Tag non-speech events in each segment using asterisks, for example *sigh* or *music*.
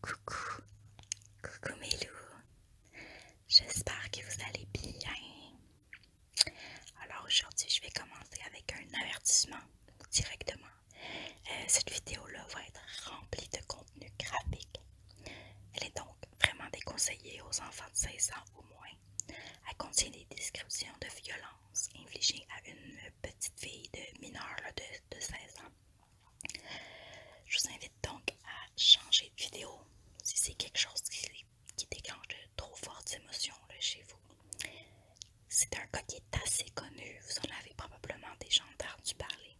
Coucou, coucou mes loups, j'espère que vous allez bien. Alors aujourd'hui, je vais commencer avec un avertissement directement. Euh, cette vidéo-là va être remplie de contenu graphique. Elle est donc vraiment déconseillée aux enfants de 16 ans au moins. Elle contient des descriptions de violences infligées à une petite fille de mineure de 16 ans. Je vous invite donc à changer de vidéo si c'est quelque chose qui, déclenche de trop fortes émotions chez vous. C'est un cas qui est assez connu, vous en avez probablement déjà entendu parler.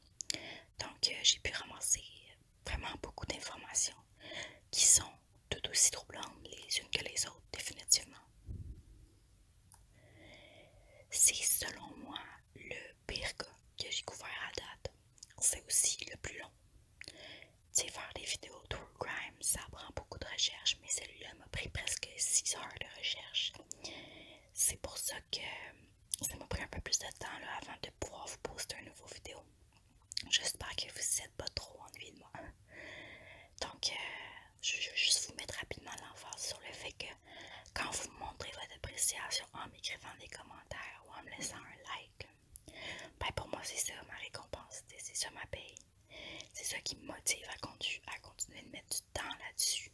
Donc euh, j'ai pu ramasser vraiment beaucoup d'informations qui sont tout aussi troublantes les unes que les autres, définitivement. C'est selon moi le pire que j'ai couvert à date. C'est aussi le plus long. Tu sais, faire des vidéos true crime, ça prend beaucoup de recherche, mais celle là m'a pris presque 6 heures de recherche. C'est pour ça que ça m'a pris un peu plus de temps avant de pouvoir vous poster une nouvelle vidéo. J'espère que vous êtes pas trop ennuyé de moi. Donc, euh, je veux juste vous mettre rapidement l'emphase sur le fait que quand vous montrez votre appréciation en m'écrivant des commentaires ou en me laissant un like, ben, pour moi c'est ça ma récompense, c'est ça ma paye. C'est ça qui me motive à, à continuer de mettre du temps là-dessus.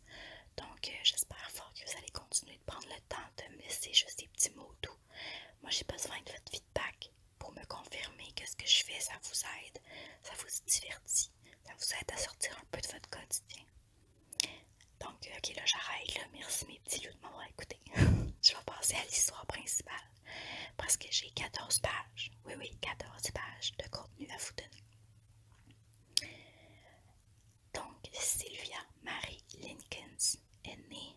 Donc euh, j'espère fort que vous allez continuer de prendre le temps de me laisser juste des petits mots tout. Moi j'ai besoin de votre feedback pour me confirmer que ce que je fais, ça vous aide, ça vous divertit vous aide à sortir un peu de votre quotidien. Donc, euh, ok, là j'arrête, là, merci mes petits loups de m'avoir écouté. *laughs* je vais passer à l'histoire principale parce que j'ai 14 pages, oui, oui, 14 pages de contenu à vous donner. Donc, Sylvia Marie Lincolns est née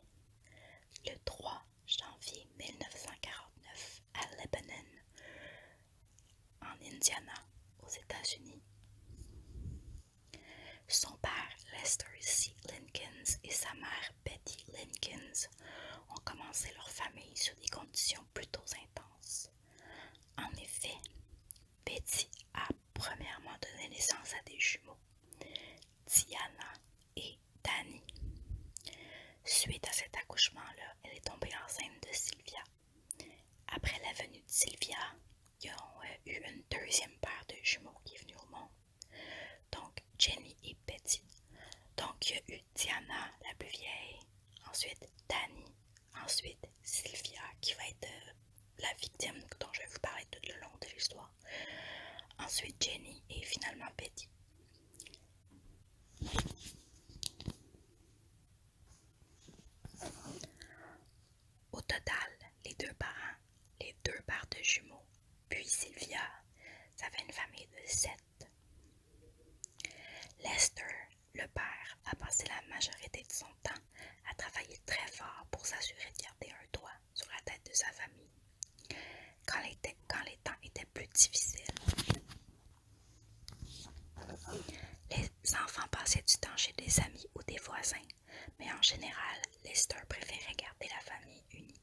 le 3 janvier 1949 à Lebanon, en Indiana, aux États-Unis. Son père, Lester C. Lincolns et sa mère, Betty Linkins, ont commencé leur famille sur des conditions plutôt intenses. En effet, Betty a premièrement donné naissance à des jumeaux, Diana et Danny. Suite à cet accouchement-là, elle est tombée enceinte de Sylvia, après la venue de Sylvia, il y a eu une deuxième paire de jumeaux qui est venue au monde. Donc Jenny et Betty. Donc il y a eu Diana, la plus vieille, ensuite Danny, ensuite Sylvia qui va être euh, la victime dont je vais vous parler tout le long de l'histoire. Ensuite Jenny et finalement Betty. Au total, les deux parents, les deux paires de jumeaux, puis Sylvia, ça une famille de sept. Lester, le père, a passé la majorité de son temps à travailler très fort pour s'assurer de garder un doigt sur la tête de sa famille. quand les temps étaient plus difficiles, les enfants passaient du temps chez des amis ou des voisins, mais en général, Lester préférait garder la famille unie.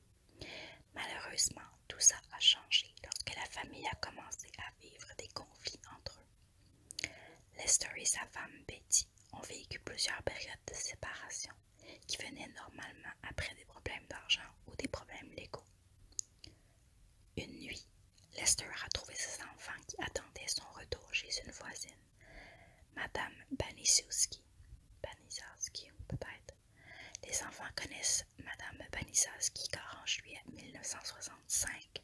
Malheureusement, tout ça a changé lorsque la famille a commencé à vivre des conflits entre eux. Lester et sa femme Betty ont vécu plusieurs périodes de séparation qui venaient normalement après des problèmes d'argent ou des problèmes légaux. Une nuit, Lester a trouvé ses enfants qui attendaient son retour chez une voisine, Madame Banisowski. peut Les enfants connaissent Madame Banisowski car en juillet 1965,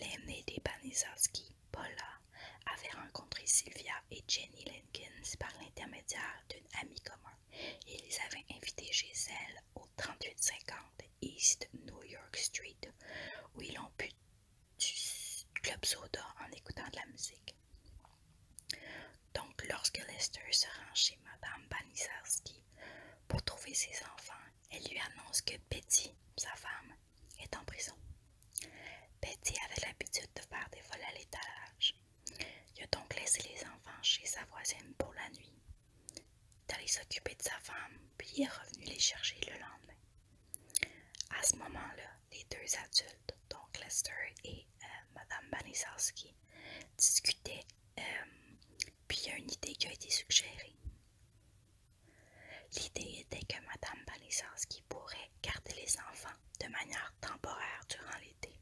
l'aînée des Banisowski, Paula, avait rencontré Sylvia et Jenny Jenkins par l'intermédiaire d'une amie commune et les avait invités chez elle au 3850 East New York Street où ils ont pu du club soda en écoutant de la musique. Donc, lorsque Lester se rend chez Madame Baniszewski pour trouver ses enfants, elle lui annonce que Betty, sa femme, est en prison. Betty avait l'habitude de faire des vols à l'étalage. Il a donc laissé les enfants chez sa voisine pour la nuit d'aller s'occuper de sa femme, puis il est revenu les chercher le lendemain. À ce moment-là, les deux adultes, donc Lester et Mme euh, Madame discutaient, euh, puis il y a une idée qui a été suggérée. L'idée était que Mme Baniszewski pourrait garder les enfants de manière temporaire durant l'été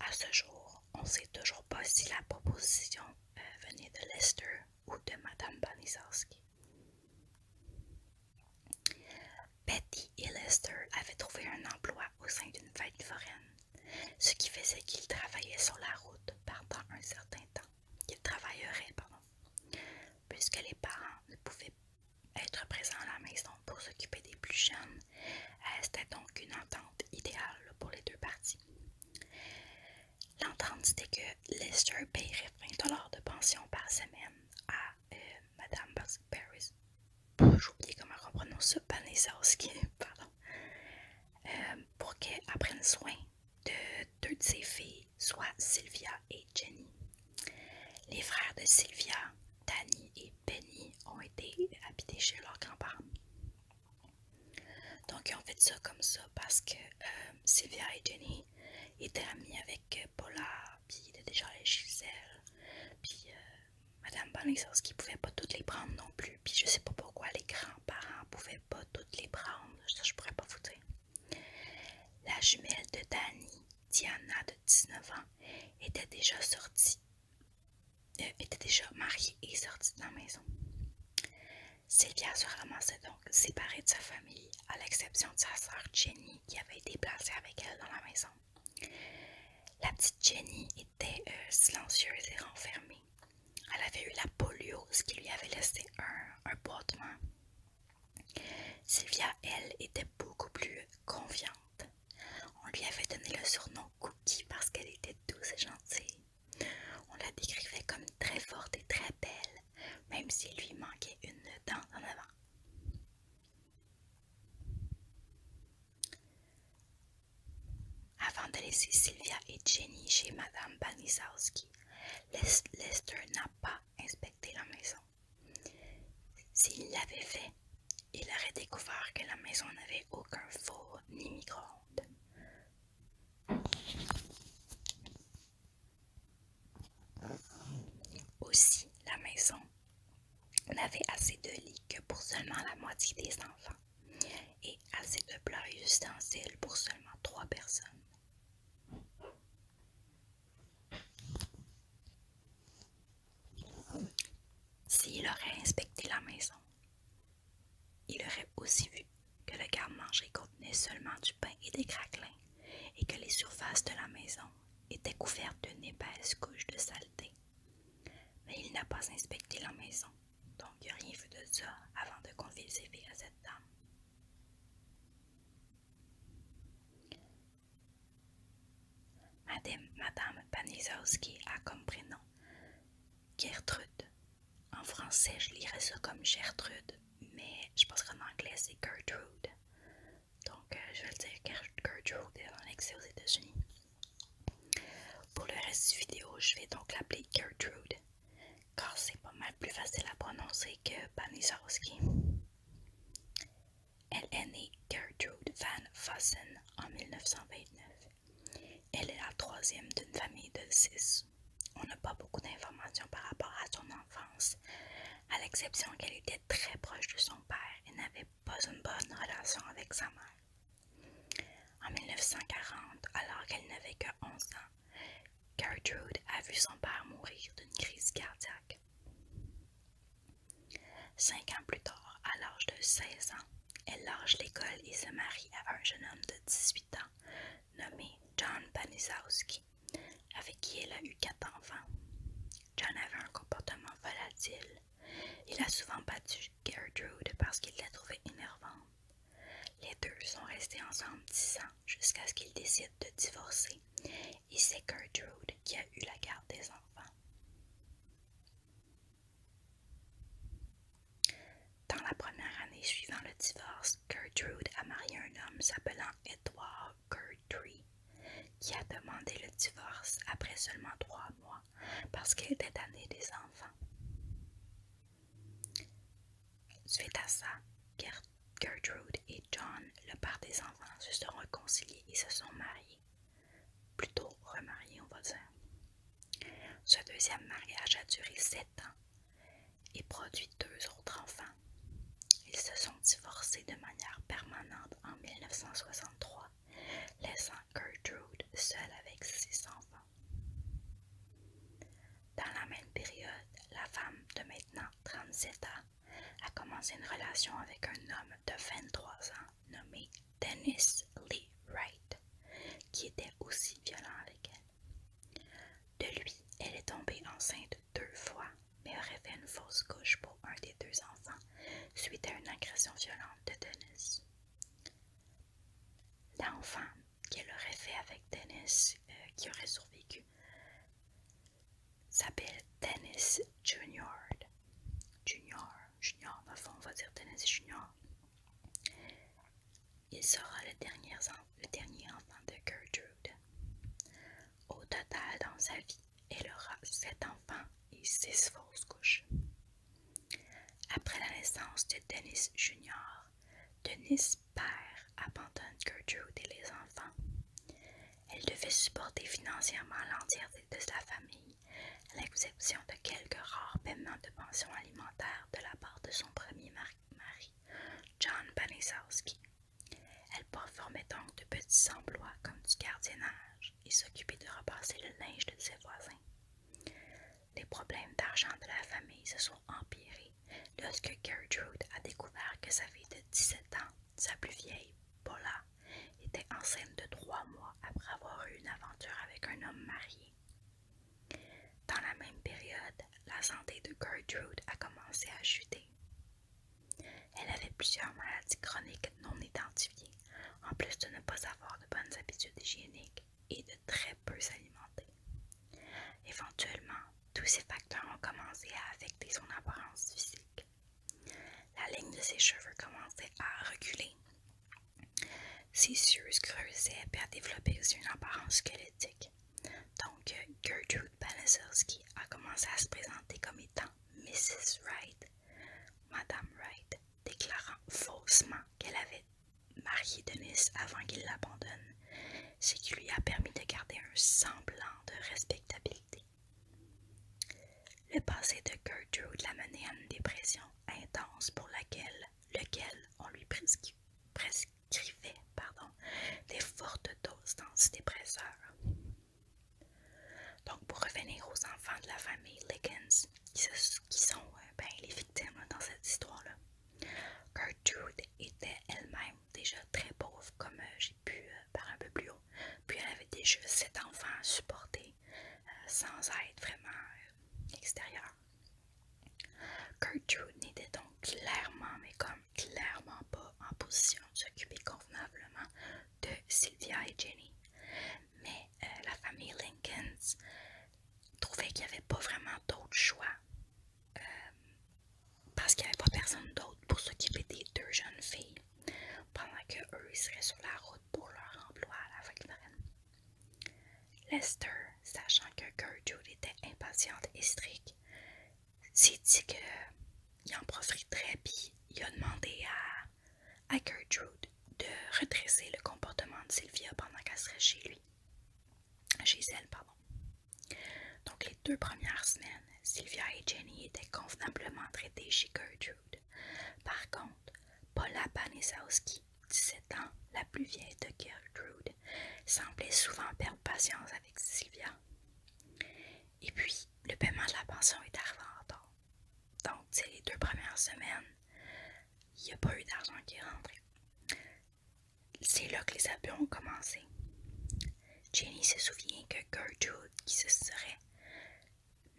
à ce jour, on ne sait toujours pas si la proposition euh, venait de Lester ou de Madame Banizarski. Betty et Lester avaient trouvé un emploi au sein d'une fête foraine, ce qui faisait qu'ils travaillaient sur la route pendant un certain temps. Qu'ils travailleraient, pardon, puisque les parents ne pouvaient être présents à la maison pour s'occuper des plus jeunes. Euh, c'était donc une entente idéale pour les deux parties. L'entente, était que Lester paierait 20 de pension par semaine à euh, Madame Paris. J'ai oublié comment on *laughs* euh, pour qu'elle prenne soin de deux de ses filles, soit Sylvia et Jenny. Les frères de Sylvia, Danny et Penny, ont été habités chez leurs grands-parents. Donc, ils fait ça comme ça parce que euh, Sylvia et Jenny étaient amies avec euh, Paula, puis il était déjà les chez puis euh, Madame Bonne qui pouvait pas toutes les prendre non plus, puis je sais pas pourquoi les grands-parents pouvaient pas toutes les prendre, ça je pourrais pas vous La jumelle de Dani, Diana de 19 ans, était déjà sortie elle euh, était déjà mariée et sortie de la maison. Sylvia se ramassait donc séparée de sa famille, à l'exception de sa sœur Jenny qui avait été placée avec elle dans la maison. La petite Jenny était euh, silencieuse et renfermée. Elle avait eu la polio, qui lui avait laissé un, un boitement. Sylvia, elle, était beaucoup plus confiante. On lui avait donné le surnom Cookie parce qu'elle était douce et gentille. On la décrivait comme très forte et très belle, même s'il lui manquait une dent en avant. Avant de laisser Sylvia et Jenny chez Madame Banisowski, Lester n'a pas inspecté la maison. S'il l'avait fait, il aurait découvert que la maison n'avait aucun four ni micro-ondes. Aussi, la maison n'avait assez de lits que pour seulement la moitié des enfants et assez de plats et ustensiles pour seulement trois personnes. S'il aurait inspecté la maison, il aurait aussi vu que le garde-manger contenait seulement du pain et des craquelins et que les surfaces de la maison étaient couvertes d'une épaisse couche de saleté. Mais il n'a pas inspecté la maison, donc il n'a rien vu de ça avant de confier ses vies à cette dame. Madame, Madame Panizowski a comme prénom Gertrude. En français, je lirais ça comme Gertrude, mais je pense qu'en anglais, c'est Gertrude. Donc, euh, je vais le dire Gertrude en accès aux États-Unis. Pour le reste de la vidéo, je vais donc l'appeler Gertrude, car c'est pas mal plus facile à prononcer que Panisowski. Elle est née Gertrude Van Vossen en 1929. Elle est la troisième d'une famille de six. On n'a pas beaucoup d'informations par rapport à son enfance, à l'exception qu'elle était très proche de son père et n'avait pas une bonne relation avec sa mère. En 1940, alors qu'elle n'avait que 11 ans, Gertrude a vu son père mourir d'une crise cardiaque. Cinq ans plus tard, à l'âge de 16 ans, elle lâche l'école et se marie à un jeune homme de 18 ans nommé John Panisowski, avec qui elle a eu quatre enfants. John avait un comportement volatile. Il a souvent battu Gertrude parce qu'il l'a trouvait énervante. Les deux sont restés ensemble 10 ans jusqu'à ce qu'ils décident de divorcer et c'est Gertrude qui a eu la garde des enfants. Dans la première année suivant le divorce, Gertrude a marié un homme s'appelant Edward Gertrude, qui a demandé le divorce après seulement trois mois parce qu'il était année des enfants. Suite à ça, Gertrude et John, le père des enfants, se sont réconciliés et se sont mariés plutôt remarié, on voisin. Ce deuxième mariage a duré 7 ans et produit deux autres enfants. Ils se sont divorcés de manière permanente en 1963, laissant Gertrude seule avec ses enfants. Dans la même période, la femme de maintenant 37 ans a commencé une relation avec un homme de 23 ans nommé Dennis Lee Wright, qui était aussi violent avec elle. De lui, elle est tombée enceinte deux fois, mais aurait fait une fausse couche pour un des deux enfants suite à une agression violente de Dennis. L'enfant qu'elle aurait fait avec Dennis, euh, qui aurait survécu, s'appelle Dennis Junior. Junior, Junior, on va dire Dennis Junior. Il sera le dernier, enfant de Gertrude. Au total, dans sa vie, elle aura sept enfants et six fausses couches. Après la naissance de Dennis Jr., Dennis père abandonne Gertrude et les enfants. Elle devait supporter financièrement l'entièreté de sa famille à l'exception de quelques rares paiements de pension alimentaire de la part de son premier mari, John Panisowski. Elle performait donc de petits emplois comme du gardiennage et s'occupait de repasser le linge de ses voisins. Les problèmes d'argent de la famille se sont empirés lorsque Gertrude a découvert que sa fille de 17 ans, sa plus vieille, Paula, était enceinte de trois mois après avoir eu une aventure avec un homme marié. Dans la même période, la santé de Gertrude a commencé à chuter. Elle avait plusieurs maladies chroniques non identifiées, en plus de ne pas avoir de bonnes habitudes hygiéniques et de très peu s'alimenter. Éventuellement, tous ces facteurs ont commencé à affecter son apparence physique. La ligne de ses cheveux commençait à reculer ses yeux creusaient per développer une apparence squelettique. Donc, euh, Gertrude Palazowski a commencé à se présenter comme étant Mrs. Wright, Madame Wright, déclarant faussement qu'elle avait marié Dennis avant qu'il l'abandonne, ce qui lui a permis de garder un semblant de respectabilité. Le passé de Gertrude l'a mené à une dépression intense pour laquelle, lequel on lui prescrivait pardon, des fortes doses d'antidépresseurs. Donc, pour revenir aux enfants de la famille Liggins, qui, sont euh, ben, les victimes dans cette histoire-là, Gertrude était elle-même déjà très pauvre, comme euh, j'ai pu euh, par un peu plus haut, puis elle avait déjà sept enfants à supporter sans être vraiment extérieur. Gertrude n'était donc clairement, mais comme clairement pas en position de s'occuper convenablement de Sylvia et Jenny. Mais euh, la famille Lincolns trouvait qu'il n'y avait pas vraiment d'autre choix euh, parce qu'il n'y avait pas personne d'autre pour s'occuper des deux jeunes filles pendant que eux seraient sur la route pour leur emploi à la ferme. Lester, sachant que Gertrude était impatiente et stricte, s'est dit qu'il en très bien il a demandé à, à Gertrude de redresser le comportement de Sylvia pendant qu'elle serait chez lui. Chez elle, pardon. Donc les deux premières semaines, Sylvia et Jenny étaient convenablement traitées chez Gertrude. Par contre, Paula Panisowski, 17 ans, la plus vieille de Gertrude, semblait souvent perdre patience avec Sylvia. Et puis, le paiement de la pension est arrivé en Donc, c'est les deux premières semaines, il n'y a pas eu d'argent qui est rentré. C'est là que les abus ont commencé. Jenny se souvient que Gertrude, qui se serait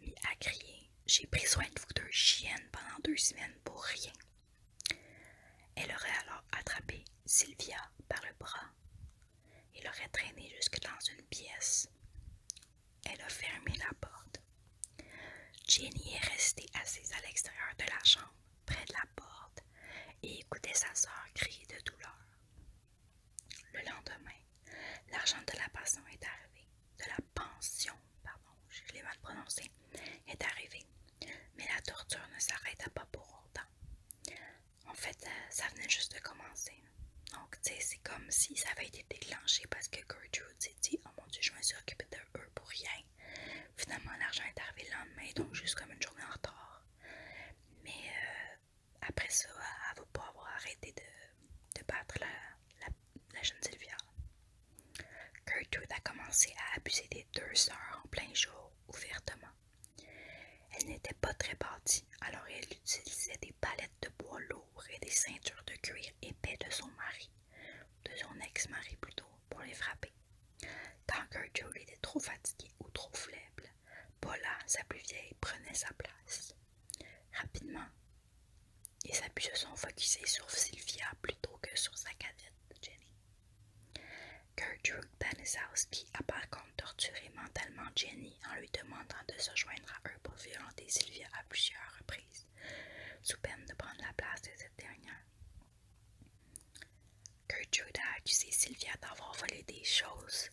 Mis a crié J'ai pris soin de vous deux chiennes pendant deux semaines pour rien. Elle aurait alors attrapé Sylvia par le bras et l'aurait traînée jusque dans une pièce. Elle a fermé la porte. Jenny est restée assise à l'extérieur de la chambre, près de la porte, et écoutait sa sœur crier de douleur. Le lendemain, l'argent de la passion est arrivé de la pension, pardon, je l'ai mal prononcé, est arrivée. Mais la torture ne s'arrêta pas pour autant. En fait, euh, ça venait juste de commencer. Donc, tu sais, c'est comme si ça avait été déclenché parce que Gertrude s'est dit Oh mon dieu, je me suis de eux pour rien. Finalement, l'argent est arrivé le lendemain, donc juste comme une journée en retard. Mais euh, après ça, elle ne va pas avoir arrêté de, battre la, la la jeune Sylvia. Gertrude a commencé à abuser des deux sœurs en plein jour, ouvertement. Elle n'était pas très partie alors elle utilisait des palettes de bois lourds et des ceintures de cuir épais de son mari, de son ex-mari plutôt, pour les frapper. Quand Gertrude était trop fatiguée ou trop faible, Paula, sa plus vieille, prenait sa place. Rapidement, et sa se sont sait, sur Sylvia plutôt que sur sa cadette Jenny. a par contre torturé mentalement Jenny en lui demandant de se joindre à eux pour violenter Sylvia à plusieurs reprises, sous peine de prendre la place de cette dernière. Drew a accusé Sylvia d'avoir volé des choses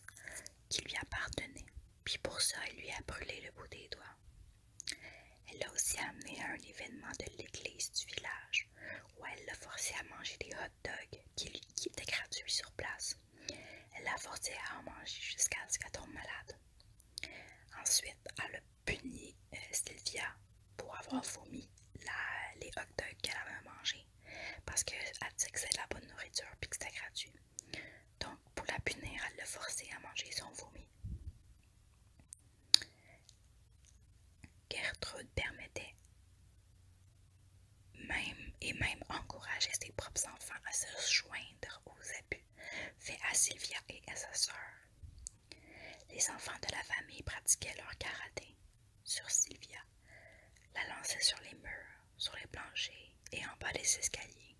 qui lui appartenaient, puis pour ça, il lui a brûlé le bout des doigts. Elle l'a aussi amené à un événement de l'église du village où elle l'a forcé à manger des hot dogs qui, étaient gratuits sur place. Elle l'a forcé à en manger jusqu'à ce qu'elle tombe malade. Ensuite, elle a puni euh, Sylvia pour avoir vomi les hot dogs qu'elle avait mangés parce qu'elle disait que c'était de la bonne nourriture et que c'était gratuit. Donc, pour la punir, elle le forçait à manger son vomi. Gertrude permettait même et même encourageait ses propres enfants à se joindre aux abus faits à Sylvia et à sa sœur. Les enfants de la famille pratiquaient leur karaté sur Sylvia, la lançaient sur les murs, sur les planchers et en bas des escaliers.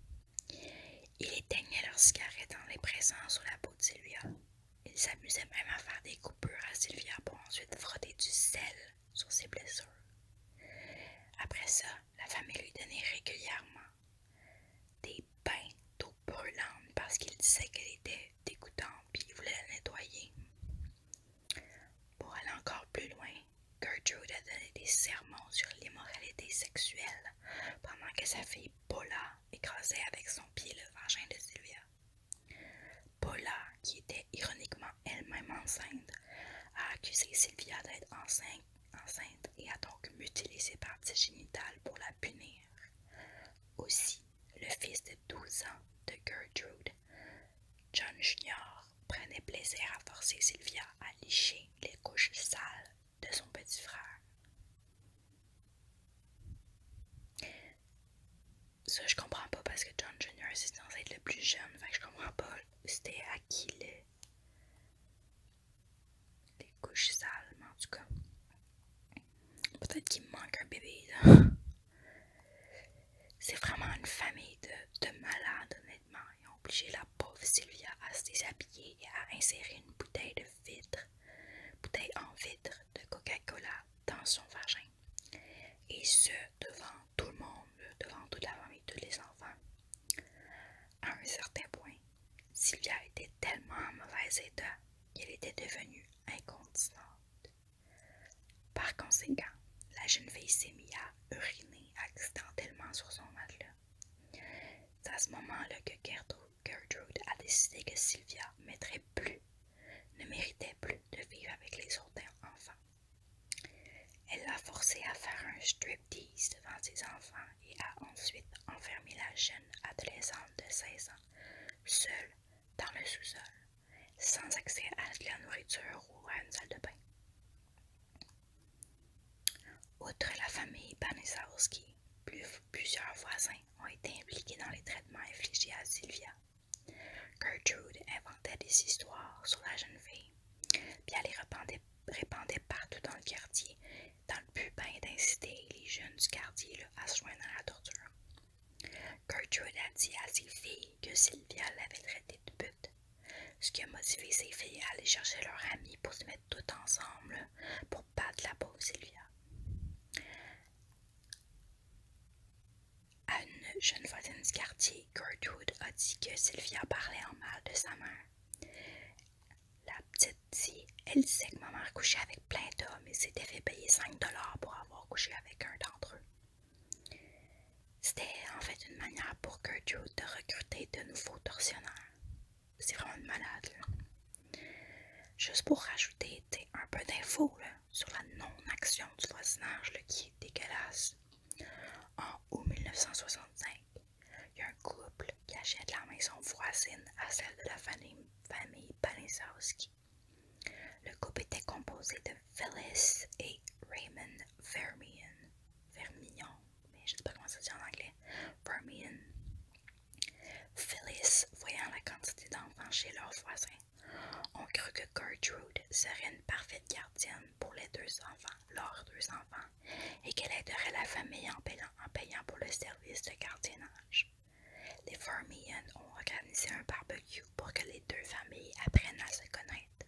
Il éteignait leurs cigarettes en les pressant sur la peau de Sylvia. Il s'amusait même à faire des coupures à Sylvia pour ensuite frotter du sel sur ses blessures. Après ça, la famille lui donnait régulièrement des bains d'eau brûlante parce qu'il disait qu'elle était dégoûtante et il voulait la nettoyer. Pour aller encore plus loin, Gertrude a donné des sermons sur l'immoralité sexuelle pendant que sa fille Paula écrasait avec son pied le vagin de Sylvia. Paula, qui était ironiquement elle-même enceinte, a accusé Sylvia d'être enceinte, et a donc mutilé ses parties génitales pour la punir. Aussi, le fils de 12 ans de Gertrude, John Jr., prenait plaisir à forcer Sylvia à licher les couches sales de son petit frère. Ça, je comprends pas parce que John Jr. c'est censé être le plus jeune, fait que je comprends pas c'était à qui les, couches sales, mais en tout cas. Peut-être qu'il manque un bébé, C'est vraiment une famille de, de malades, et ont obligé la pauvre Sylvia à se déshabiller et à insérer une bouteille de vitre, bouteille en vitre de Coca-Cola dans son vagin. Et ce, devant tout le monde, devant toute la famille, tous les enfants. À un certain point, Sylvia était tellement en mauvais état qu'elle était devenue incontinente. Par conséquent, la jeune fille s'est mise à uriner accidentellement sur son matelas. C'est à ce moment-là que Gertrude a décidé que Sylvia ne méritait plus de vivre avec les autres enfants. Elle l'a forcée à faire un striptease devant ses enfants et a ensuite enfermé la jeune adolescente de 16 ans, seule dans le sous-sol, sans accès à de la nourriture ou à une salle de bain. Outre la famille Panizowski, plusieurs voisins ont été impliqués dans les traitements infligés à Sylvia. Gertrude inventait des histoires sur la jeune fille, puis elle les répandait, partout dans le quartier, dans le but d'inciter les jeunes du quartier à se joindre à la torture. Gertrude a dit à ses filles que Sylvia l'avait traitée de but. Ce qui a motivé ses filles à aller chercher leur amis pour se mettre toutes ensemble pour battre la pauvre Sylvia. À une jeune voisine du quartier, Gertrude a dit que Sylvia parlait en mal de sa mère. La petite dit Elle disait que maman couchait avec plein d'hommes et s'était fait payer 5 pour avoir couché avec un d'entre eux. C'était en fait une manière pour Gertrude de recruter de nouveaux tortionnaires. C'est vraiment malade. Juste pour rajouter un peu d'infos sur la non-action du voisinage le qui est dégueulasse. En août 1965, il y a un couple qui achète la maison voisine à celle de la famille, famille Le couple était composé de Phyllis et Raymond Vermillion mais je ne sais pas comment ça se dit en anglais, Permian. Phyllis, voyant la quantité d'enfants chez leurs voisins, ont cru que Gertrude serait une parfaite gardienne pour les deux enfants, leurs deux enfants, et qu'elle aiderait la famille en payant, en payant pour le service de gardiennage. Les Vermillion ont organisé un barbecue pour que les deux familles apprennent à se connaître.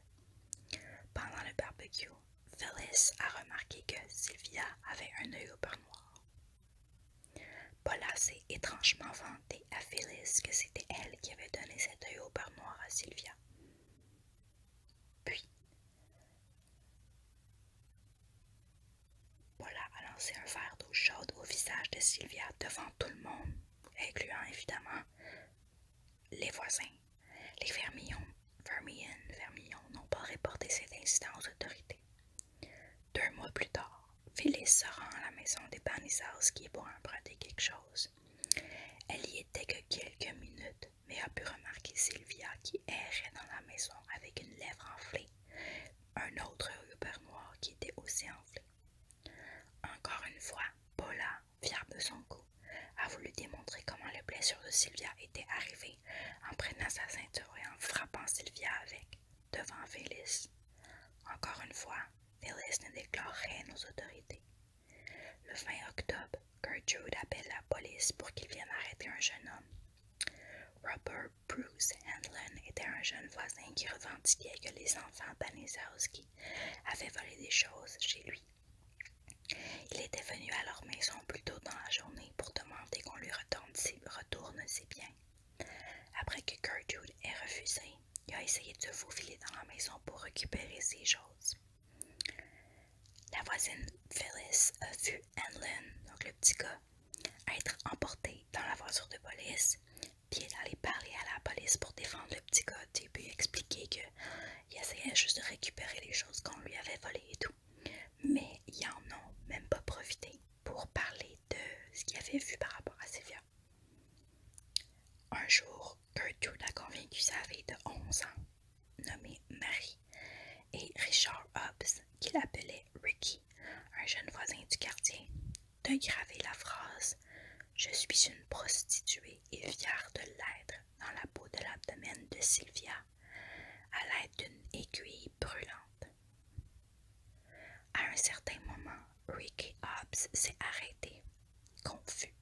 Pendant le barbecue, Phyllis a remarqué que Sylvia avait un œil au beurre noir. Paula s'est étrangement vantée à Phyllis que c'était elle qui avait donné cet œil au beurre noir à Sylvia. Puis, Paula a lancé un verre d'eau chaude au visage de Sylvia devant tout le monde, incluant évidemment les voisins, les fermillons, fermillons, n'ont pas reporté cet incident aux autorités. Deux mois plus tard, Phyllis se rend à la maison des Banizars qui est pour emprunter quelque chose. Elle y était que quelques minutes, mais a pu remarquer Sylvia qui errait dans la maison avec une lèvre enflée, un autre ruban noir qui était aussi enflé. Encore une fois, Paula fière de son coup, a voulu démontrer comment les blessures de Sylvia étaient arrivées en prenant sa ceinture et en frappant Sylvia avec, devant Phyllis. Encore une fois, Phyllis ne déclare rien aux autorités. Le 20 octobre, Gertrude appelle la police pour qu'ils viennent arrêter un jeune homme. Robert Bruce Handlin était un jeune voisin qui revendiquait que les enfants Banizowski avaient volé des choses chez lui il était venu à leur maison plus tôt dans la journée pour demander qu'on lui retourne ses, biens. Après que Gertrude ait refusé, il a essayé de se faufiler dans la maison pour récupérer ses choses. La voisine Phyllis a vu Anlin, donc le petit gars, être emporté dans la voiture de police, puis elle allait parler à la police pour défendre le petit gars puis expliquer qu'il essayait juste de récupérer les choses qu'on lui avait volées et tout. Mais ils en ont même pas profité pour parler de ce qu'il avait vu par rapport à Sylvia. Un jour, Gertrude a convaincu sa vie de 11 ans, nommée Marie, et Richard Hobbs, qu'il appelait Ricky, un jeune voisin du quartier, de gravé la phrase Je suis une prostituée et fière de l'être dans la peau de l'abdomen de Sylvia à l'aide d'une aiguille brûlante. À un certain moment, Ricky Hobbs s'est arrêté, confus,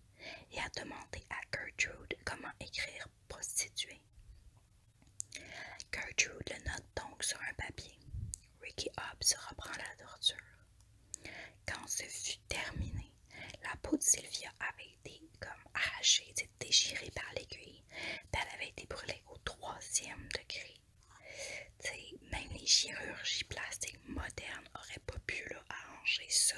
et a demandé à Gertrude comment écrire prostituée. Gertrude le note donc sur un papier. Ricky Hobbs reprend la torture. Quand ce fut terminé, la peau de Sylvia avait avait été comme arrachée, déchirée par l'aiguille. elle avait été brûlée au troisième degré. même les chirurgies plastiques modernes n'auraient pas pu arranger ça.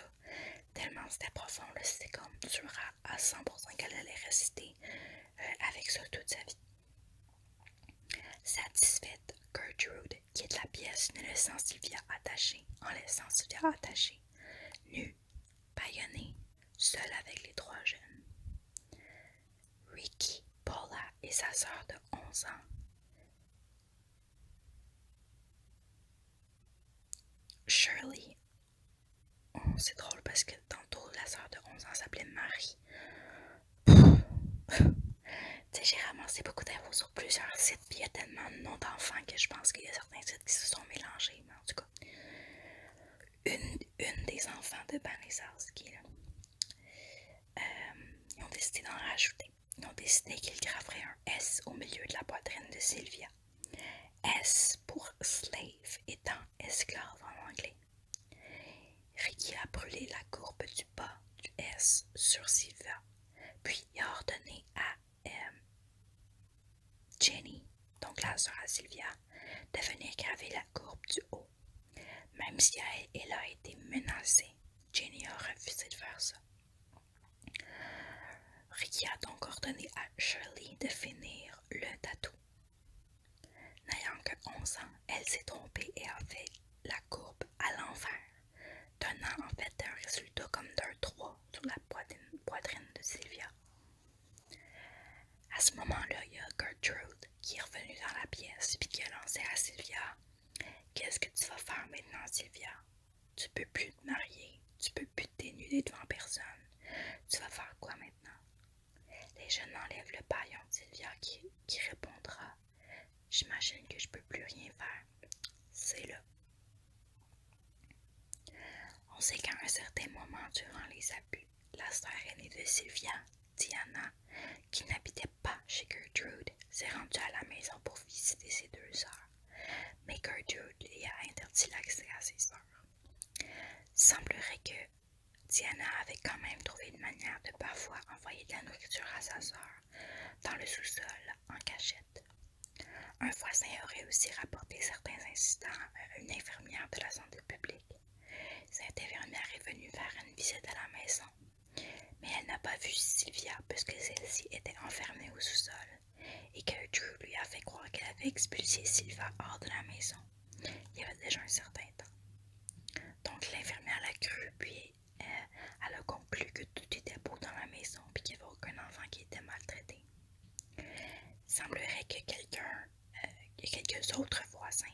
Tellement c'était profond, C'est comme dur à, à 100% qu'elle allait rester euh, avec ça toute sa vie. Satisfaite, Gertrude quitte la pièce, sens laissant Sylvia attachée, en laissant Sylvia attachée, nue Paillonné, seul avec les trois jeunes. Ricky, Paula et sa sœur de 11 ans. Shirley, oh, c'est drôle parce que tantôt la sœur de 11 ans s'appelait Marie. *laughs* tu sais, j'ai ramassé beaucoup d'infos sur plusieurs puis il y a tellement de noms d'enfants que je pense qu'il y a certains titres qui se sont mélangés, mais en tout cas. Une, des enfants de Banessas euh, ils ont décidé d'en rajouter. Ils ont décidé qu'ils graveraient un S au milieu de la poitrine de Sylvia. S pour slave étant esclave en anglais. Ricky a brûlé la courbe du bas du S sur Sylvia, puis il a ordonné à euh, Jenny, donc la sœur à Sylvia, de venir graver la courbe du haut. Même si elle, elle a été menacée, Jenny a refusé de faire ça. Ricky a donc ordonné à Shirley de finir le tatou. N'ayant que 11 ans, elle s'est trompée et a fait la courbe à l'envers, donnant en fait un résultat comme d'un 3 sur la poitrine, de Sylvia. À ce moment-là, il y a Gertrude qui est revenue dans la pièce et qui a lancé à Sylvia Qu'est-ce que tu vas faire maintenant, Sylvia Tu peux plus te marier, tu peux plus te dénuder devant personne. Tu vas faire quoi maintenant Les jeunes enlèvent le paillon de Sylvia qui, qui répondra J'imagine que je peux plus rien faire. C'est là on sait qu'à un certain moment durant les abus, la sœur aînée de Sylvia, Diana, qui n'habitait pas chez Gertrude, s'est rendue à la maison pour visiter ses deux sœurs, mais Gertrude lui a interdit l'accès à ses sœurs. Semblerait que Diana avait quand même trouvé une manière de parfois envoyer de la nourriture à sa sœur dans le sous-sol en cachette. Un voisin aurait aussi rapporté certains incidents à une infirmière de la santé publique. Cette infirmière est venue faire une visite à la maison, mais elle n'a pas vu Sylvia puisque celle-ci était enfermée au sous-sol et que Drew lui a fait croire qu'elle avait expulsé Sylvia hors de la maison. Il y avait déjà un certain temps. Donc l'infirmière l'a cru, puis euh, elle a plus que tout était beau dans la maison puis qu'il n'y avait aucun enfant qui était maltraité. Il semblerait que quelqu'un, euh, quelques autres voisins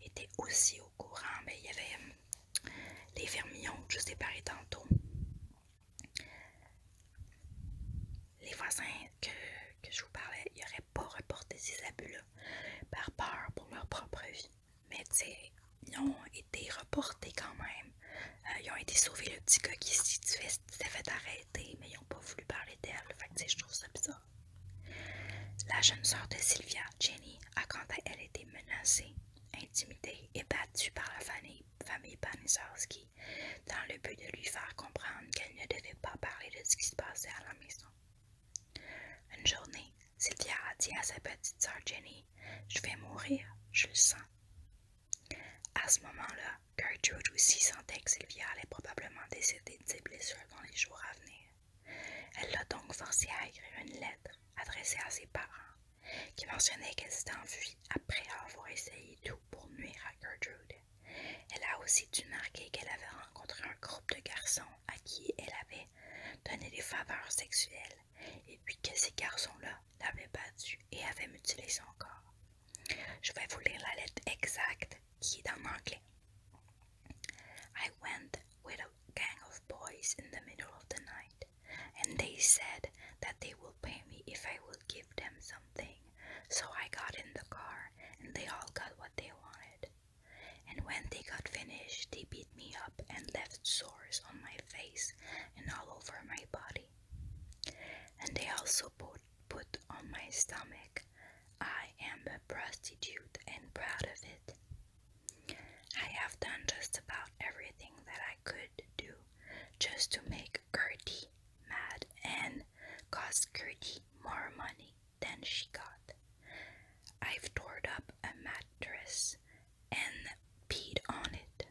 étaient aussi au courant, mais il y avait hum, les fermions que je séparais tantôt. Les voisins que, je vous parlais, ils n'auraient pas reporté ces abus-là par peur pour leur propre vie. Mais tu ils ont été reportés quand même euh, ils ont été sauvés, le petit gars qui s'est fait arrêter, mais ils n'ont pas voulu parler d'elle. Fait je trouve ça bizarre. La jeune sœur de Sylvia, Jenny, a quant à elle été menacée, intimidée et battue par la famille, famille dans le but de lui faire comprendre qu'elle ne devait pas parler de ce qui se passait à la maison. Une journée, Sylvia a dit à sa petite sœur Jenny Je vais mourir, je le sens. À ce moment-là, Gertrude aussi sentait que Sylvia allait probablement décéder de ses blessures dans les jours à venir. Elle l'a donc forcée à écrire une lettre adressée à ses parents, qui mentionnait qu'elle s'était enfuie après avoir essayé tout pour nuire à Gertrude. Elle a aussi dû marquer qu'elle avait rencontré un groupe de garçons à qui elle avait donné des faveurs sexuelles et puis que ces garçons-là l'avaient battu et avaient mutilé son corps. Je vais vous lire la lettre exacte qui est en anglais. I went with a gang of boys in the middle of the night, and they said that they will pay me if I will give them something. So I got in the car, and they all got what they wanted. And when they got finished, they beat me up and left sores on my face and all over my body. And they also put, put on my stomach, I am a prostitute and proud of it. I have done just about everything that I could do just to make Gertie mad and cost Gertie more money than she got. I've torn up a mattress and peed on it.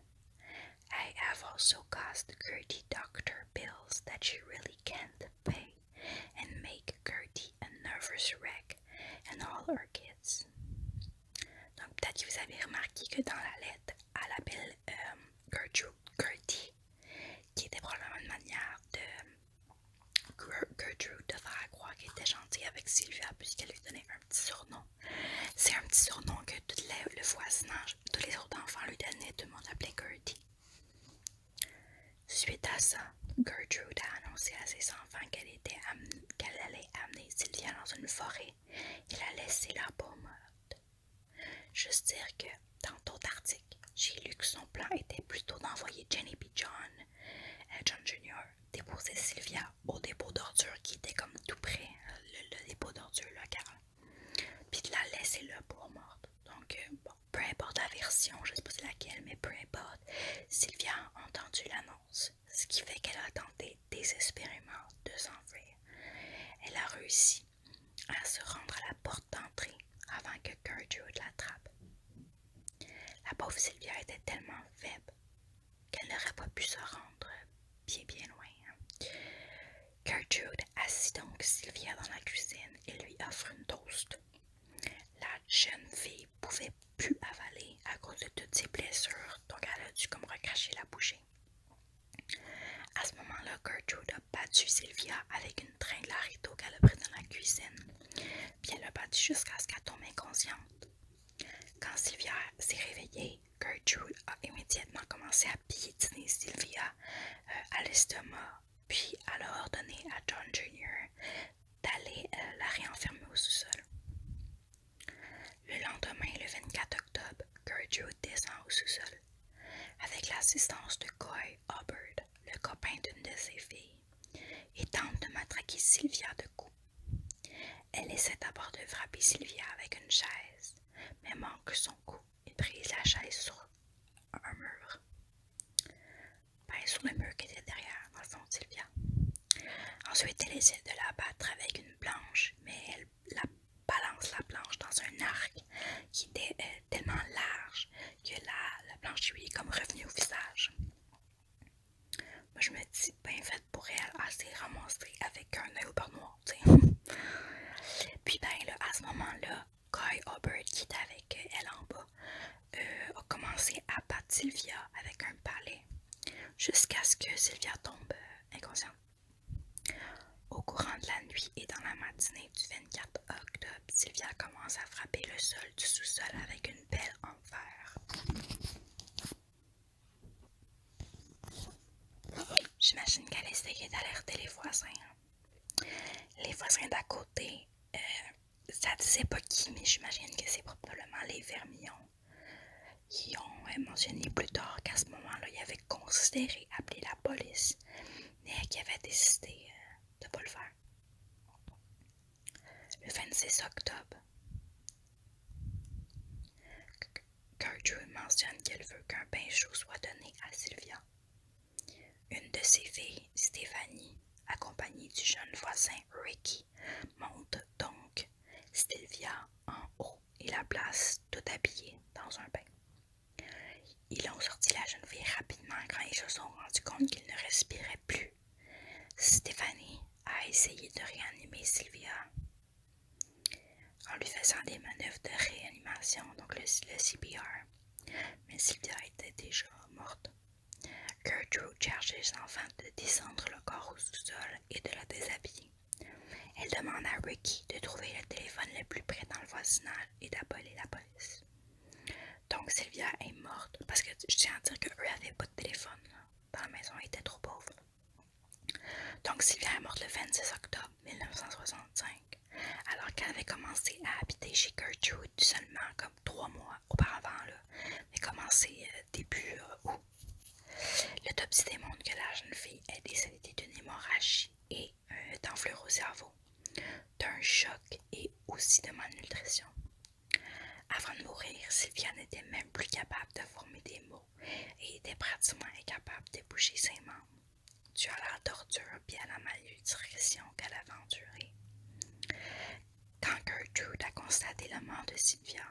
I have also caused Gertie doctor bills that she really can't pay and make Gertie a nervous wreck and all her kids. Donc, peut-être que vous avez remarqué que dans la lettre, elle appelle euh, Gertrude Gertie, qui était probablement une manière de Gertrude de faire croire qu'elle était gentille avec Sylvia puisqu'elle lui donnait un petit surnom C'est un petit surnom que tout le voisinage, tous les autres enfants lui donnaient, tout le monde appelait Gertie. Suite à ça, Gertrude a annoncé à ses enfants qu'elle allait amener Sylvia dans une forêt Il a laissé la pomme morte. Juste dire que, dans d'autres articles, j'ai lu que son plan était plutôt d'envoyer Jenny B. John, et euh, John Jr., déposer Sylvia au dépôt d'ordures qui était comme tout près, euh, le, dépôt d'ordures local. Puis de la laisser là pour morte. Donc, euh, peu importe la version, je sais pas laquelle, mais peu importe, Sylvia a entendu l'annonce, ce qui fait qu'elle a tenté désespérément de s'enfuir. Elle a réussi à se rendre à la porte d'entrée avant que Gertrude l'attrape. La pauvre Sylvia était tellement faible qu'elle n'aurait pas pu se rendre bien bien loin. Hein. Gertrude assit donc Sylvia dans la cuisine et lui offre une toast. La jeune fille pouvait plus avaler à cause de toutes ses blessures, donc elle a dû comme recracher la bouche. À ce moment-là, Gertrude a battu Sylvia avec une tringle à qu'elle a prise dans la cuisine, puis elle a battu jusqu'à ce qu'elle tombe inconsciente. Quand Sylvia s'est réveillée, Gertrude a immédiatement commencé à piétiner Sylvia euh, à l'estomac, puis elle a ordonné à John Jr. d'aller euh, la réenfermer au sous-sol. Le lendemain, le 24 octobre, Gertrude descend au sous-sol avec l'assistance de Coy Hubbard, le copain d'une de ses filles, et tente de matraquer Sylvia de coups. Elle essaie d'abord de frapper Sylvia avec une chaise, mais manque son coup et brise la chaise sur un mur. le mur qui était derrière, Sylvia. Ensuite, elle essaie de la battre avec une planche, mais elle balance la planche dans un arc qui était euh, tellement large que la, la planche lui est comme revenue au visage. Moi, je me dis, ben faite pour elle, elle s'est avec un œil au beurre noir, *laughs* Puis, ben là, à ce moment-là, Guy Hubbard, qui était avec elle en bas, euh, a commencé à battre Sylvia avec un palais jusqu'à ce que Sylvia tombe euh, inconsciente. Au courant de la nuit et dans la matinée du 24 octobre, Sylvia commence à frapper le sol du sous-sol avec une belle enfer. J'imagine qu'elle essayait d'alerter les voisins. Hein. Les voisins d'à côté, euh, ça disait pas qui, mais j'imagine que c'est probablement les vermillons qui ont euh, mentionné plus tard qu'à ce moment-là, ils avaient considéré appeler la police, mais qui avait décidé euh, de ne pas le faire. Le 26 octobre, Gertrude mentionne qu'elle veut qu'un bain chaud soit donné à Sylvia. Une de ses filles, Stéphanie, accompagnée du jeune voisin Ricky, monte donc Sylvia en haut et la place tout habillée dans un bain. Ils ont sorti la jeune fille rapidement quand ils se sont rendus compte qu'il ne respirait plus. Stéphanie a essayé de réanimer Sylvia, en lui faisant des manœuvres de réanimation, donc le, CPR. Mais Sylvia était déjà morte. Gertrude charge les enfants de descendre le corps au sous-sol et de la déshabiller. Elle demande à Ricky de trouver le téléphone le plus près dans le voisinage et d'appeler la police. Donc Sylvia est morte parce que je tiens à dire qu'eux n'avaient pas de téléphone dans la maison, était trop pauvre. Donc Sylvia est morte le 26 octobre 1965, alors qu'elle avait commencé à habiter chez Gertrude seulement comme trois mois auparavant. Mais commencé euh, début Le euh, août. L'autopsie démontre que la jeune fille est décédée d'une hémorragie et d'un d'enflure au cerveau, d'un choc et aussi de malnutrition. Avant de mourir, Sylvia n'était même plus capable de former des mots et était pratiquement incapable de bouger ses membres, dû à la torture et à la malnutrition qu'elle avait endurée. Quand Gertrude a constaté le mort de Sylvia,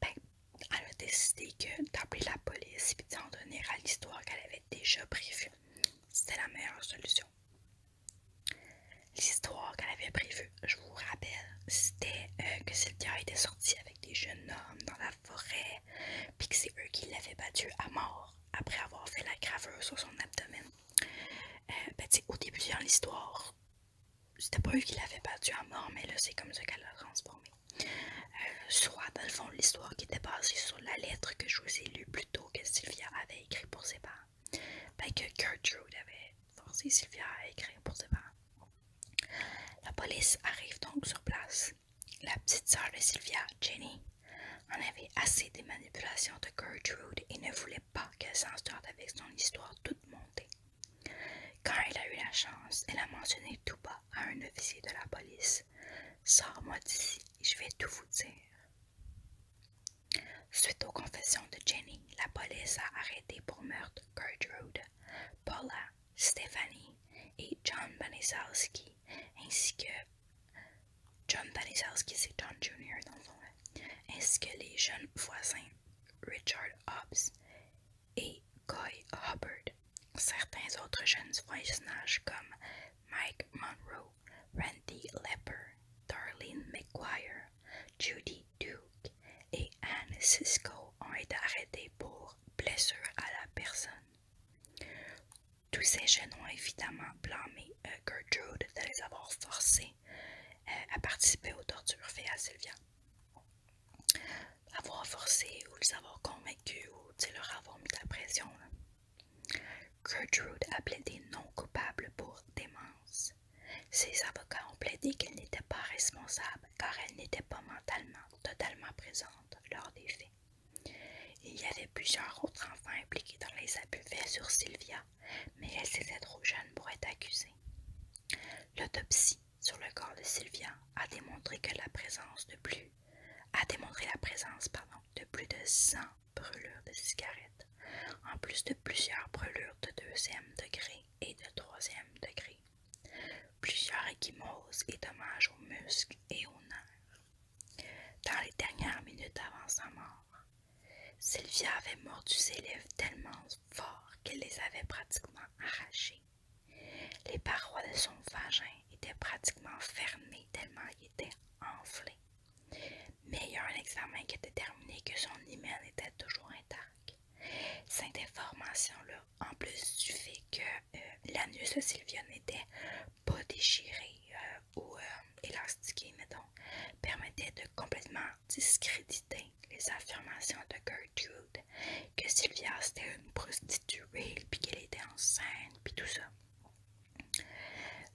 ben, elle a décidé que d'appeler la police et d'en donner à l'histoire qu'elle avait déjà prévue, c'était la meilleure solution. L'histoire qu'elle avait prévue je vous rappelle, c'était euh, que Sylvia était sortie avec des jeunes hommes dans la forêt, puis que c'est eux qui l'avaient battue à mort après avoir fait la graveur sur son abdomen. Euh, ben, au début de l'histoire, c'était pas eux qui l'avaient battue à mort, mais là c'est comme ça qu'elle l'a transformée. Euh, soit dans le fond l'histoire qui était basée sur la lettre que je vous ai lue plus que Sylvia avait écrite pour ses parents. Ben que Gertrude avait forcé Sylvia à écrire pour ses La police arrive donc sur place. La petite sœur de Sylvia, Jenny, en avait assez des manipulations de Gertrude et ne voulait pas qu'elle sorte avec son histoire toute montée. Quand elle a eu la chance, elle a mentionné tout bas à un officier de la police Sors-moi d'ici je vais tout vous dire. Suite aux confessions de Jenny, la police a arrêté pour meurtre Gertrude Paula, Stephanie et John Banisowski ainsi que John John Jr. dans les jeunes voisins Richard Hobbs et Coy Hubbard. Certains autres jeunes voisinages comme Mike Monroe, Randy Lepper, Darlene McGuire, Judy Duke et Anne Cisco ont été arrêtés pour blessure à la personne. Tous ces jeunes ont évidemment blâmé euh, Gertrude de les avoir forcés euh, à participer aux tortures faites à Sylvia. Avoir forcé ou les avoir convaincus ou leur avoir mis la pression. Gertrude a plaidé non coupable pour démence. Ses avocats ont plaidé qu'elle n'était pas responsable car elle n'était pas mentalement totalement présente lors des faits. Il y avait plusieurs autres enfants impliqués dans les abus faits sur Sylvia, mais elle était trop jeune pour être accusée. L'autopsie sur le corps de Sylvia a démontré la présence de plus de plus de 100 brûlures de cigarettes, en plus de plusieurs brûlures de deuxième degré et de troisième degré. Plusieurs échymoses et dommages aux muscles et aux nerfs. Dans les dernières minutes avant sa mort, Sylvia avait mordu ses lèvres tellement fort qu'elle les avait pratiquement arrachées. Les parois de son vagin étaient pratiquement fermées tellement il était enflé. Mais il y a un examen qui a déterminé que son hymen était toujours intact. Cette information-là, en plus du fait que euh, l'anus de Sylvia n'était pas déchiré euh, ou euh, élastiqué, permettait de complètement discréditer les affirmations de Gertrude que Sylvia c'était une prostituée, puis qu'elle était enceinte, puis tout ça.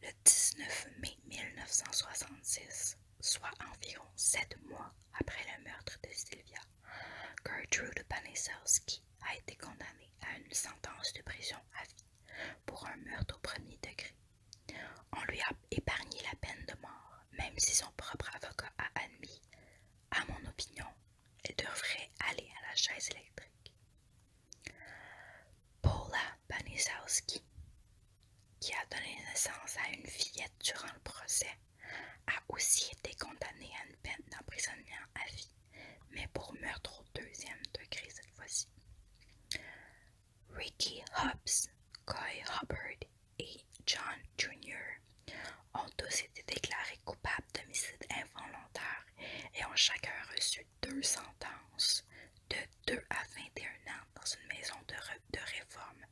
Le 19 mai 1966, soit environ sept mois après le meurtre de Sylvia, Gertrude Panisowski a été condamné à une sentence de prison à vie pour un meurtre au premier degré. On lui a épargné la peine de mort, même si son propre avocat a admis, à mon opinion, elle devrait aller à la chaise électrique. Paula Panisowski, qui a donné naissance à une fillette durant le procès, a aussi été condamné à une peine d'emprisonnement à vie, mais pour meurtre au deuxième degré cette fois-ci. Ricky Hobbs, Coy Hubbard et John Jr. ont tous été déclarés coupables d'homicide involontaire et ont chacun reçu deux sentences de 2 à 21 ans dans une maison de réforme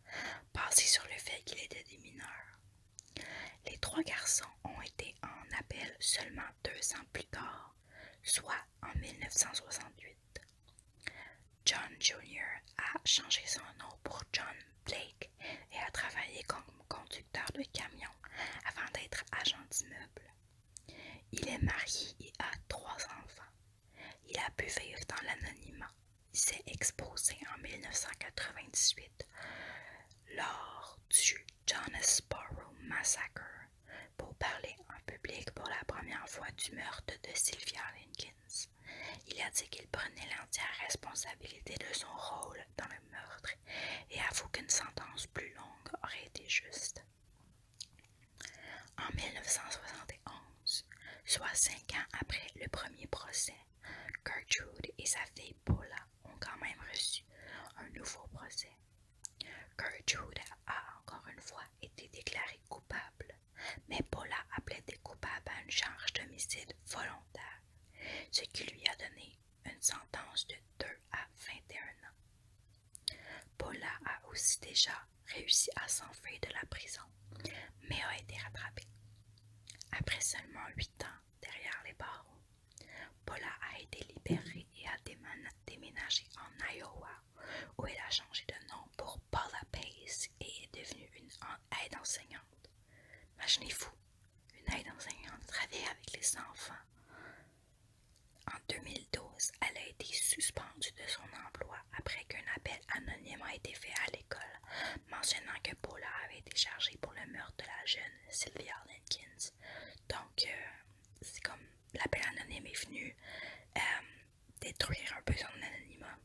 Passé sur le fait qu'il était des mineurs. Les trois garçons ont été en appel seulement deux ans plus tard, soit en 1968. John Jr. a changé son nom pour John Blake et a travaillé comme conducteur de camion avant d'être agent d'immeuble. Il est marié et a trois enfants. Il a pu vivre dans l'anonymat. Il s'est exposé en 1998 lors du Sparrow Massacre pour parler en public pour la première fois du meurtre de Sylvia Lincolns. Il a dit qu'il prenait l'entière responsabilité de son rôle dans le meurtre et avoue qu'une sentence plus longue aurait été juste. En 1971, soit cinq ans après le premier procès, Gertrude et sa fille Paula ont quand même reçu un nouveau procès. Gertrude a encore une fois été déclarée coupable, mais Paula a plaidé coupable à une charge d'homicide volontaire, ce qui lui a donné une sentence de 2 à 21 ans. Paula a aussi déjà Réussi à s'enfuir de la prison, mais a été rattrapé. Après seulement huit ans derrière les barreaux, Paula a été libérée et a déménagé en Iowa, où elle a changé de nom pour Paula Pace et est devenue une aide enseignante. Imaginez-vous, une aide enseignante travaille avec les enfants. En 2012, elle a été suspendue de son emploi après qu'un appel anonyme a été fait à l'école mentionnant que Paula avait été chargée pour le meurtre de la jeune Sylvia Jenkins. Donc, euh, c'est comme l'appel anonyme est venu euh, détruire un peu son anonymat.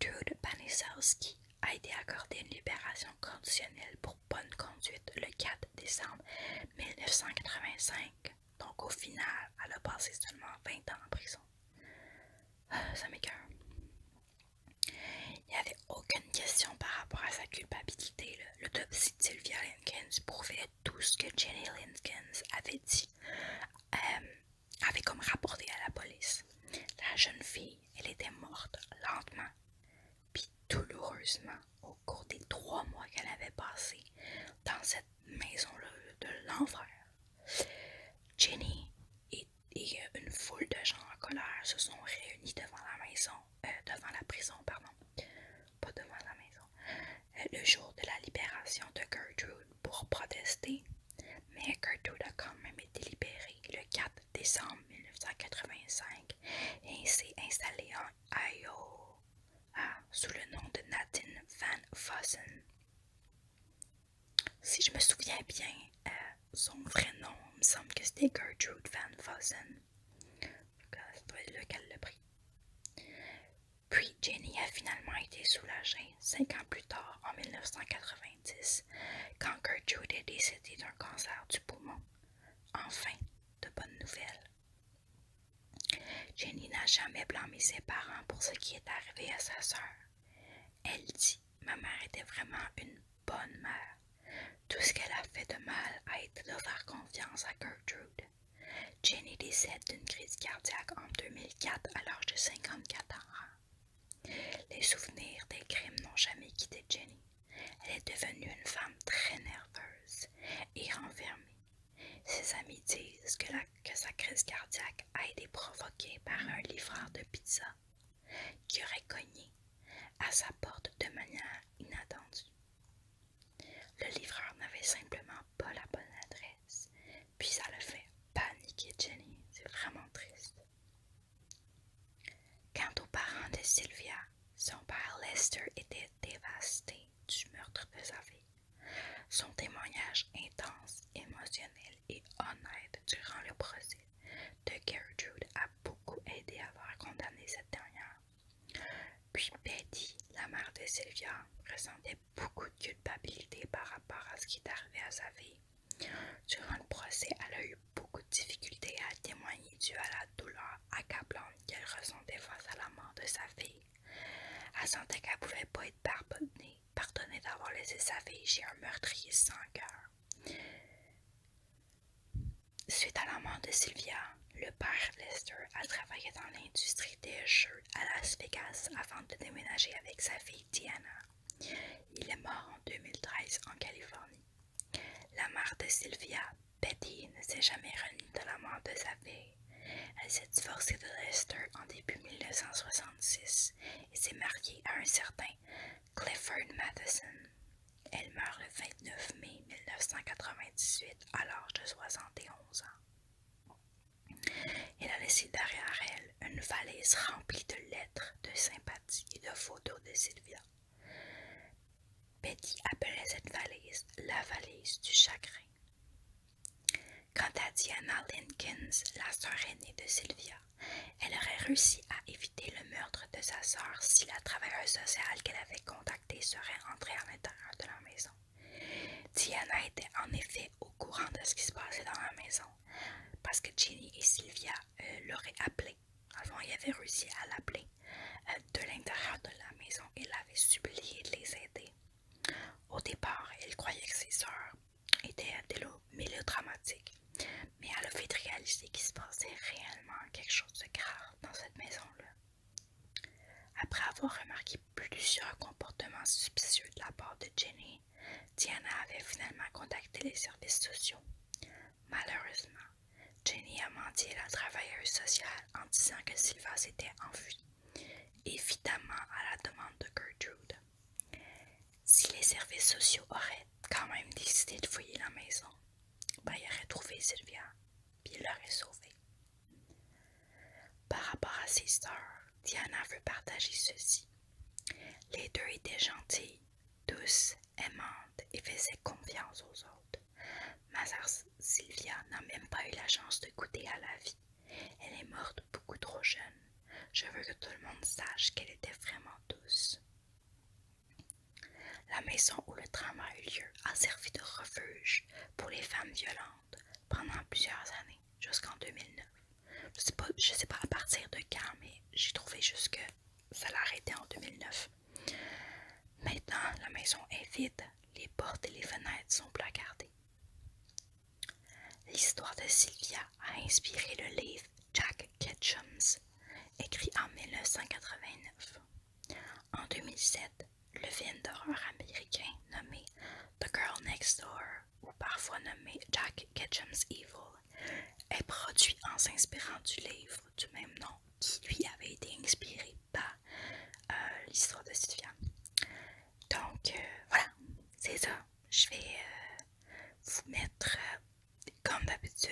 Gertrude Panisowski a été accordée une libération conditionnelle pour bonne conduite le 4 décembre 1985 donc, au final, elle a passé seulement 20 ans en prison. Ah, ça m'écoeure. Il n'y avait aucune question par rapport à sa culpabilité. L'autopsie de Sylvia Linkins prouvait tout ce que Jenny Linkins avait dit, euh, avait comme rapporté à la police. La jeune fille, elle était morte lentement, puis douloureusement au cours des trois mois qu'elle avait passé dans cette maison-là de l'enfer. Jenny et, euh, une foule de gens en colère se sont réunis devant la maison, euh, devant la prison, pardon, pas devant la maison, euh, le jour de la libération de Gertrude pour protester, mais Gertrude a quand même été libérée le 4 décembre 1985 et s'est installée en Iowa ah, sous le nom de Nadine Van Fossen. Si je me souviens bien, euh, son vrai nom, me semble que c'était Gertrude Van Fossen. Ça doit être là le Puis Jenny a finalement été soulagée cinq ans plus tard, en 1990, quand Gertrude est décédée d'un cancer du poumon. Enfin, de bonnes nouvelles. Jenny n'a jamais blâmé ses parents pour ce qui est arrivé à sa sœur. Elle dit Ma mère était vraiment une bonne mère. Tout ce qu'elle a fait de mal a été de faire confiance à Gertrude. Jenny décède d'une crise cardiaque en 2004 à l'âge de 54 ans. Les souvenirs des crimes n'ont jamais quitté Jenny. Elle est devenue une femme très nerveuse et renfermée. Ses amis disent que, sa crise cardiaque a été provoquée par un livreur de pizza qui aurait cogné à sa porte de manière inattendue. Le livreur n'avait simplement pas la bonne adresse, puis ça le fait paniquer Jenny, c'est vraiment triste. Quant aux parents de Sylvia, son père Lester était dévasté du meurtre de sa fille. Son témoignage intense, émotionnel et honnête durant le procès de Gertrude a beaucoup aidé à voir condamner cette dernière. Puis Betty, la mère de Sylvia, ressentait beaucoup de culpabilité par rapport à ce qui est à sa fille. Durant le procès, elle a eu beaucoup de difficultés à témoigner dû à la douleur accablante qu'elle ressentait face à la mort de sa fille. Elle sentait qu'elle ne pouvait pas être pardonnée, d'avoir laissé sa fille chez un meurtrier sans cœur. Suite à la mort de Sylvia, le père Lester a travaillé dans l'industrie des jeux à Las Vegas avant de déménager avec sa fille Diana. Il est mort en 2013 en Californie. La mère de Sylvia, Betty, ne s'est jamais remise de la mort de sa fille. Elle s'est divorcée de Lester en début 1966 et s'est mariée à un certain Clifford Matheson. Elle meurt le 29 mai 1998 à l'âge de 71 ans. Elle a laissé derrière elle une valise remplie de lettres, de sympathie et de photos de Sylvia. Betty appelait cette valise la valise du chagrin. Quant à Diana Linkins, la sœur aînée de Sylvia, elle aurait réussi à éviter le meurtre de sa sœur si la travailleuse sociale qu'elle avait contactée serait entrée à l'intérieur de la maison. Diana était en effet au courant de ce qui se passait dans la maison, parce que Jenny et Sylvia euh, l'auraient appelée. Avant, ils avaient réussi à l'appeler euh, de l'intérieur de la maison et l'avaient suppliée de les aider. Au départ, elle croyait que ses sœurs étaient des dramatique, mais elle a fait réaliser qu'il se passait réellement quelque chose de grave dans cette maison-là. Après avoir remarqué plusieurs comportements suspicieux de la part de Jenny, Diana avait finalement contacté les services sociaux. Malheureusement, Jenny a menti à la travailleuse sociale en disant que Silva s'était enfui évidemment à la demande de Gertrude. Si les services sociaux auraient quand même décidé de fouiller la maison, ben, ils auraient trouvé Sylvia, puis ils l'auraient sauvée. Par rapport à ses sœurs, Diana veut partager ceci. Les deux étaient gentilles, douces, aimantes et faisaient confiance aux autres. Mazar Sylvia n'a même pas eu la chance de goûter à la vie. Elle est morte beaucoup trop jeune. Je veux que tout le monde sache qu'elle était vraiment douce. La maison où le trauma a eu lieu a servi de refuge pour les femmes violentes pendant plusieurs années, jusqu'en 2009. Je ne sais pas à partir de quand, mais j'ai trouvé juste que ça arrêté en 2009. Maintenant, la maison est vide, les portes et les fenêtres sont placardées. L'histoire de Sylvia a inspiré le livre Jack Ketchum's, écrit en 1989. En 2007, le film d'horreur américain nommé The Girl Next Door, ou parfois nommé Jack Ketchum's Evil, est produit en s'inspirant du livre du même nom qui lui avait été inspiré par euh, l'histoire de Sylvia. Donc euh, voilà, c'est ça. Je vais euh, vous mettre, euh, comme d'habitude,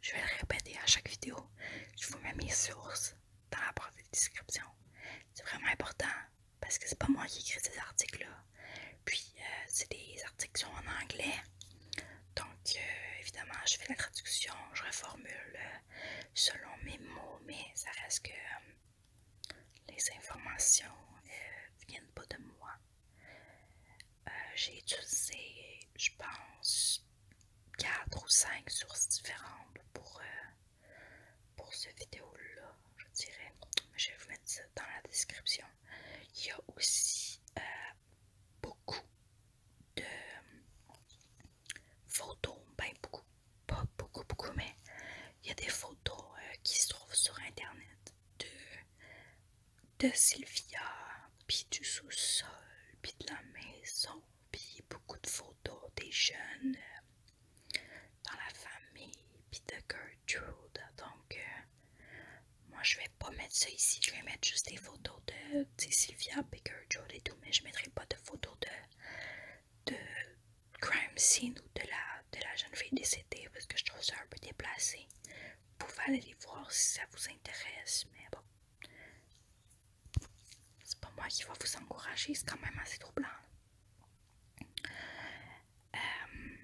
je vais le répéter à chaque vidéo. Je vous mets mes sources dans la barre description. C'est vraiment important parce que c'est pas moi qui écris ces articles-là. Puis c'est des articles qui sont en anglais. Donc évidemment, je fais la traduction, je reformule selon mes mots, mais ça reste que les informations euh, viennent pas de moi. Euh, j'ai utilisé, je pense, 4 ou 5 sources différentes pour, euh, pour ce vidéo-là, je dirais. Je vais vous mettre ça dans la description. Il y a aussi beaucoup de photos, ben beaucoup, pas beaucoup, beaucoup, mais il y a des photos euh, qui se trouvent sur internet de, Sylvia, puis du sous-sol, puis de la maison, puis beaucoup de photos des jeunes euh, dans la famille, puis de Gertrude. Donc, euh, moi je vais pas mettre ça ici, je vais mettre juste des photos de Sylvia, puis Gertrude et tout, mais je mettrai pas de photos de. de crime scene ou de la, de la jeune fille décédée parce que je trouve ça un peu déplacé. Vous pouvez aller les voir si ça vous intéresse, mais bon. C'est pas moi qui va vous encourager, c'est quand même assez troublant. Euh,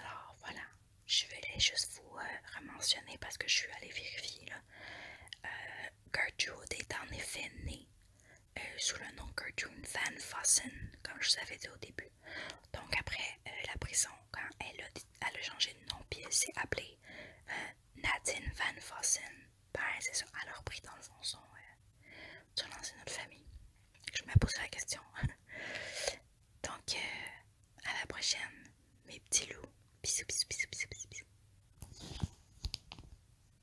alors voilà, je vais juste vous euh, rementionner, parce que je suis allée vérifier là. Euh, Gertrude est en effet née euh, sous le nom Cartoon Van Fossen, comme je vous avais dit au début. Donc après euh, la prison, quand elle a, elle a changé de nom, puis elle s'est appelée euh, Nadine Van Fossen. Ben c'est ça, elle a repris dans le fond son, sur l'ancienne famille. Je me pose la question. *laughs* Donc à la prochaine, mes petits loups. Bisous, bisous, bisous, bisous, bisous. bisous.